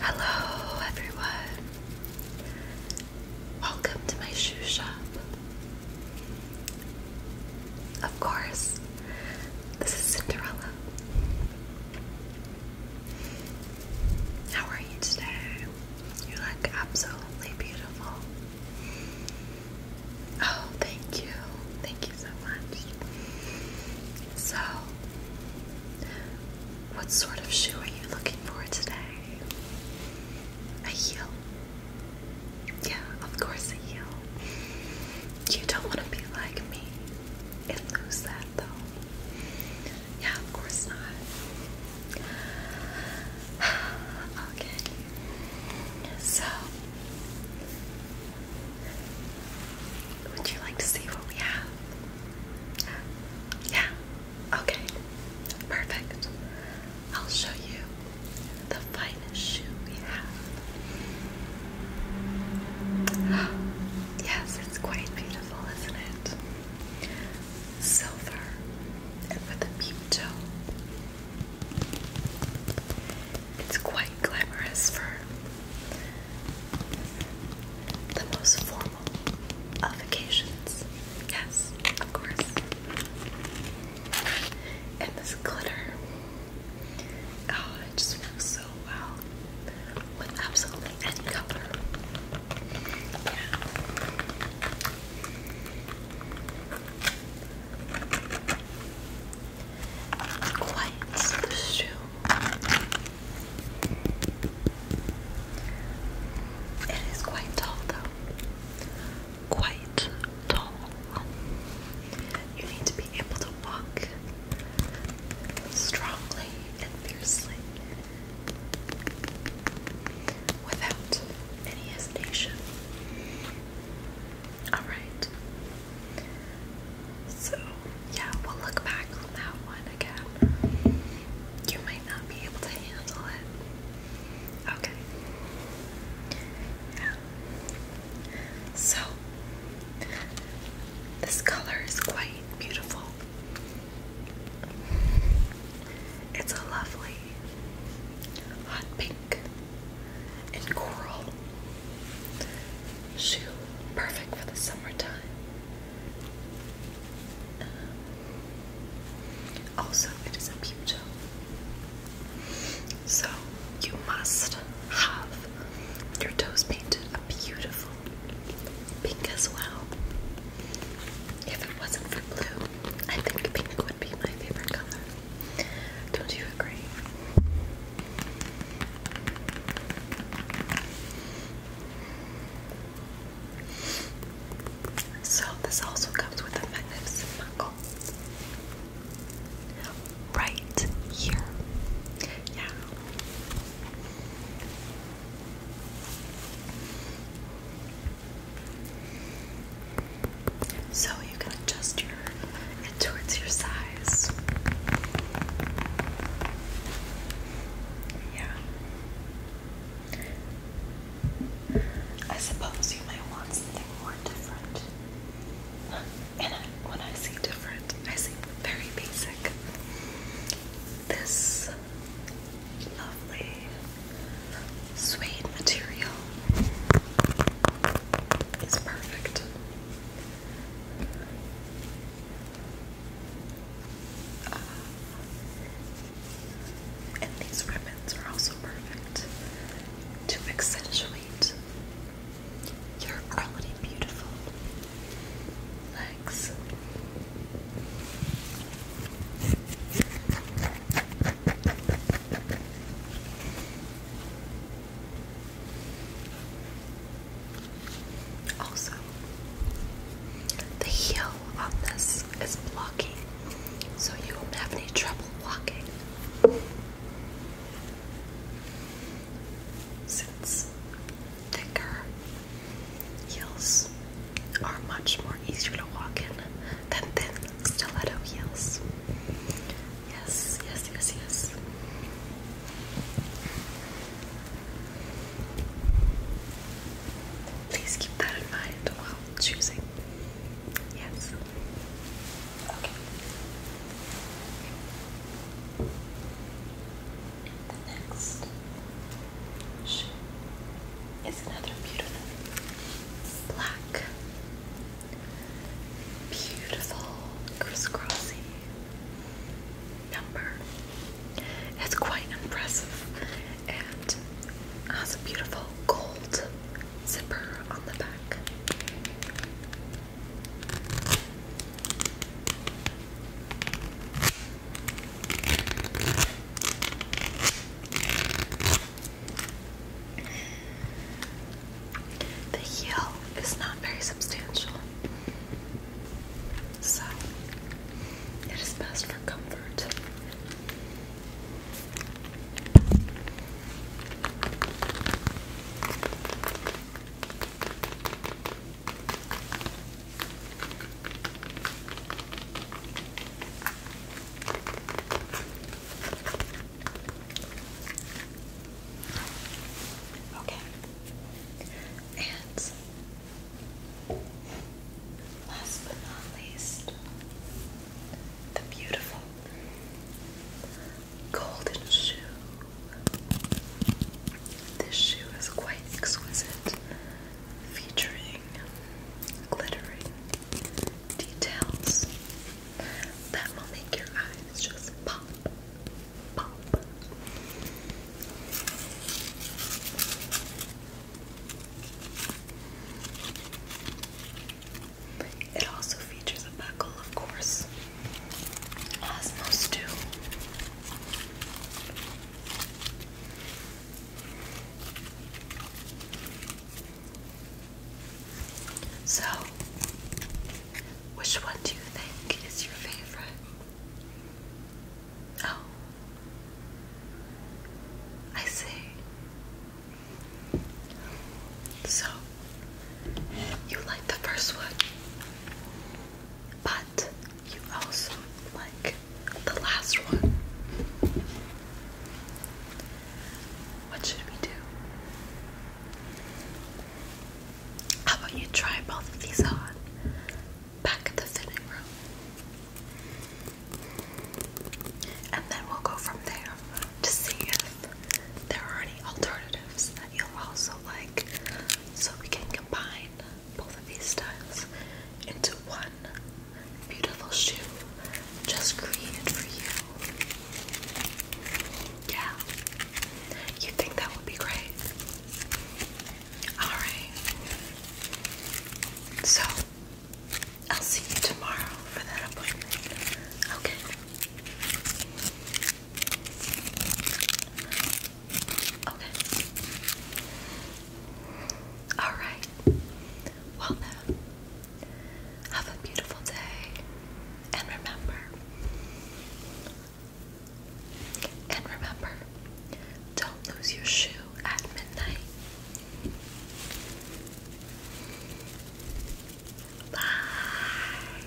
Hello, everyone. Welcome to my shoe shop. Of course, this is Cinderella. How are you today? You look absolutely beautiful. Oh, thank you. Thank you so much. So, what sort of shoe are you looking for today? A heel. Yeah, of course, a heel. You don't want to be like me and lose that, though. Yeah, of course not. Okay. So, would you like to see what we have? Yeah. Okay. Perfect. I'll show you the finest shoe we have. yes, it's quite beautiful, isn't it? Silver with a peep toe. It's quite glamorous for the most formal of occasions. Yes, of course. And this glitter. Oh, it just works so well with absolutely any color. Yeah quiets the It is quite tall though. Quite tall. You need to be able to walk strongly and fiercely without any hesitation. Alright. So, yeah, we'll look back on that one again. You might not be able to handle it. Okay. Yeah. So, this color is quite beautiful. It's a lovely hot pink and coral shoe, perfect for the summertime. Um, also, it is a toe, so you must have your toes painted a beautiful pink as well. If it wasn't for blue, I think pink would be my favorite color. Don't you agree? So this also comes with a magnificent buckle. Right here. Yeah. So you can adjust your it towards your size. Yeah. I suppose you might want something more different. And when I say different, I say very basic. This lovely suede material is perfect. Uh, and these ribbons are also perfect to accentuate your already beautiful legs. Also, the heel on this is blocking, so you won't have any trouble walking. Since thicker Heels are much more easier to walk in than thin stiletto heels. Yes, yes, yes, yes. Please keep that in mind while choosing. Yes. Okay. The next shoe is another beautiful black, beautiful crisscrossy number. It's quite impressive and has a beautiful gold zipper on the back. The heel is not very substantial, so it is best for comfort. Okay. And last but not least, the beautiful golden shoe. This shoe is quite exquisite, featuring glittering details that will make your eyes just pop, pop. It also features a buckle, of course, as most do. So, which one do you think is your favorite? Oh, I see. So, you like the first one, but you also like the last one. What should we do? How about you try both of these on back at the fitting room? And then we'll go from there to see if there are any alternatives that you'll also like so we can combine both of these styles into one beautiful shoe just created for you. Yeah. You think that would be great? Alright. So, I'll see you tomorrow for that appointment. Okay. Okay. All right. Well have a beautiful day, and remember, and remember, don't lose your shoe at midnight. Bye.